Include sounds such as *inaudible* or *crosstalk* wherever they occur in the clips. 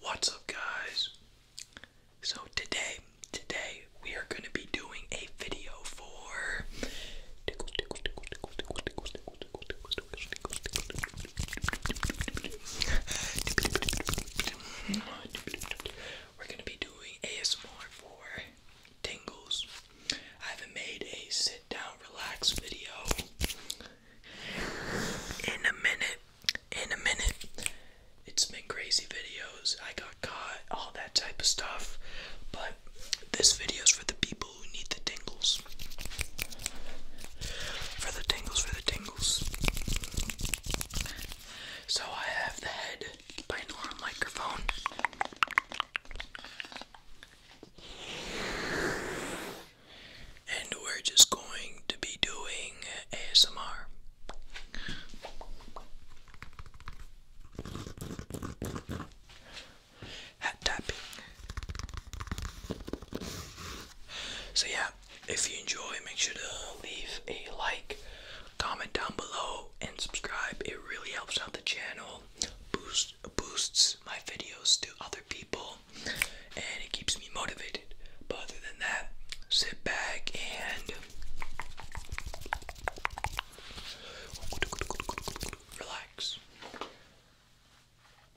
What's up, guys? So today, today we are going to be doing a video for *laughs* We're gonna be doing ASMR for tingles. I haven't made a sit down, relax video in a minute. In a minute. It's been crazy videos. I got caught, all that type of stuff. But this video is for the people who need the tingles. For the tingles, for the tingles. So I have the head binaural microphone. And we're just going to be doing ASMR. Hat tapping. So, yeah, if you enjoy, make sure to leave a like, comment down below, and subscribe. It really helps out the channel, boosts boosts my videos to other people, and it keeps me motivated. But other than that, sit back and relax.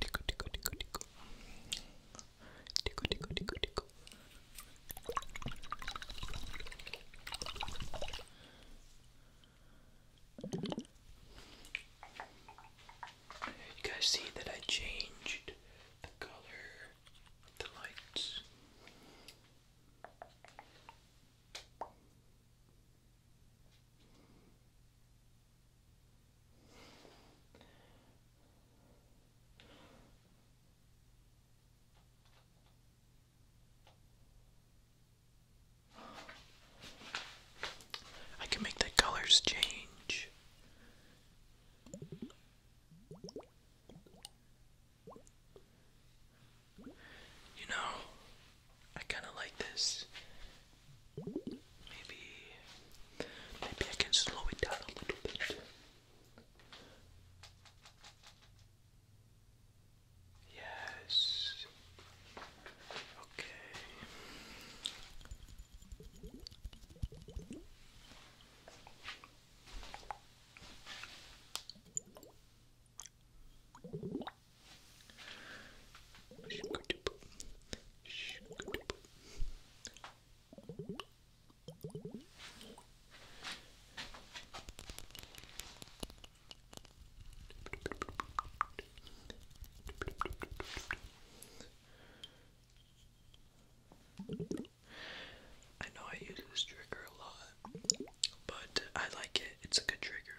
Tickle, tickle, tickle, tickle. Tickle, tickle, tickle, tickle. You guys see that I changed the color of the lights. I can make the colors change. You know, I kind of like this. Maybe maybe I can slow it down a little bit. Yes. Okay. I know I use this trigger a lot, but I like it. It's a good trigger.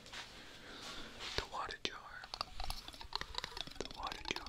The water jar. The water jar.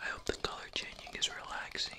I hope the color changing is relaxing.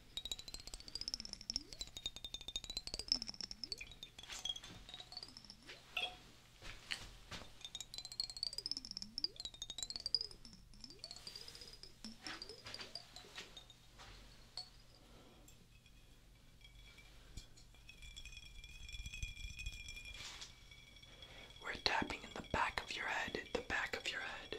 We're tapping in the back of your head, the back of your head.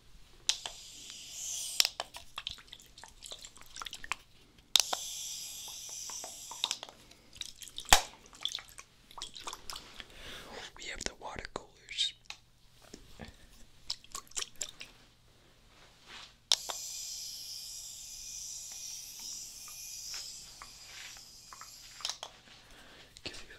We have the water coolers. Give you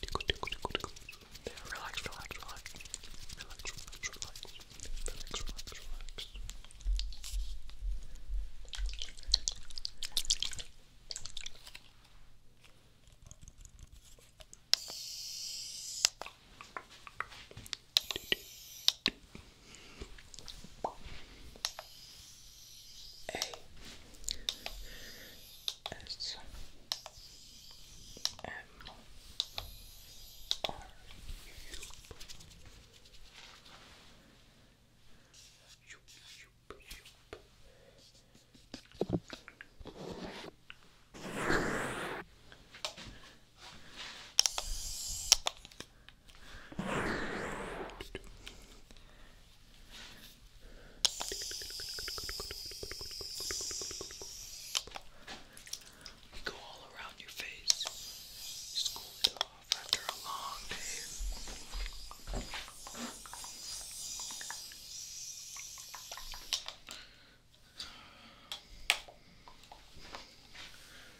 Tickle, tickle, tickle, tickle. Yeah, relax, relax, relax. Relax, relax, relax. Relax, relax, relax. A S M R U Go all around your face. Just cool it off after a long day. Good.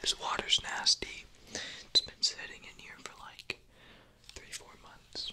This water's nasty. It's been sitting in here for like three, four months.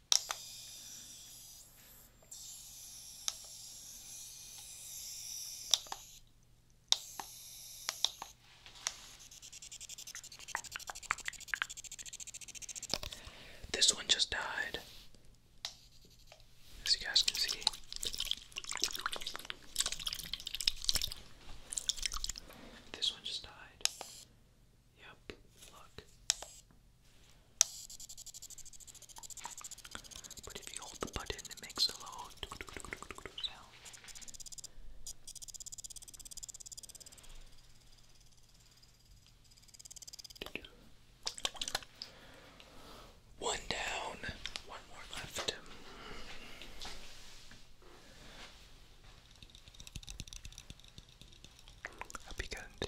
This one just died, as you guys can see. This one just died. Yep, look. But if you hold the button, it makes a low sound. One down, one more left. I'll be getting the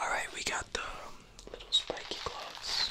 All right, we got the um, little spiky gloves.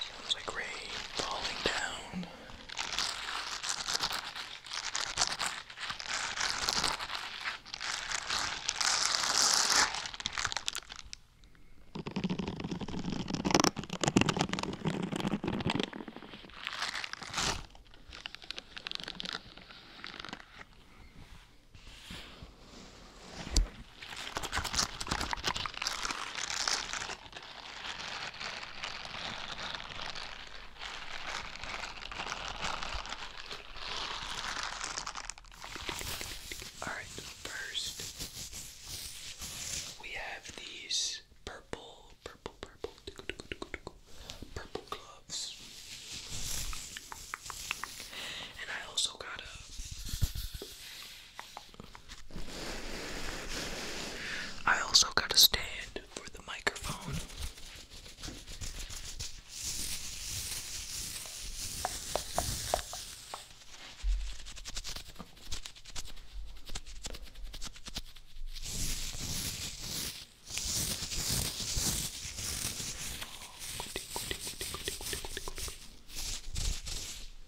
Sounds like rain falling down. Alright, first we have these purple, purple, purple, purple gloves. And I also got a I also got a stand for the microphone.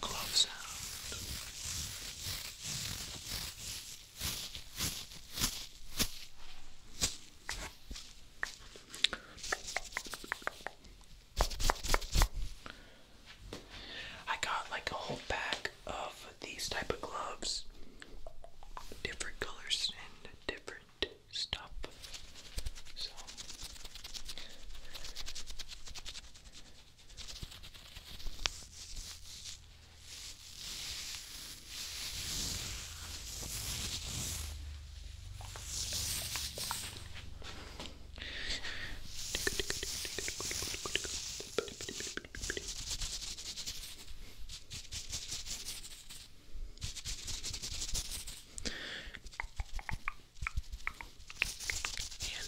Glove sound. I got like a whole pack of these type of gloves, different colors and different stuff. So Hand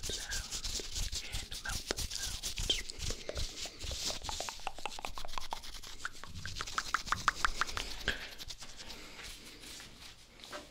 sounds and mouth sounds.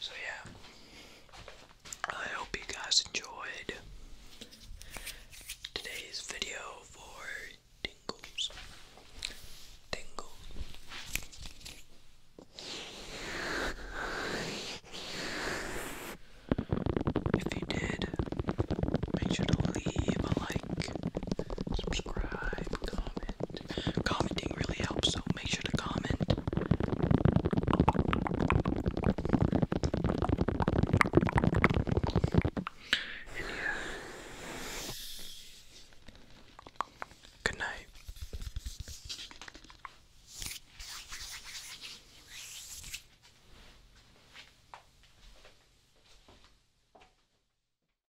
So, yeah, I hope you guys enjoyed today's video for tingles. Tingle. If you did, make sure to leave a like, subscribe, comment. Commenting really helps, so make sure to comment. Good night.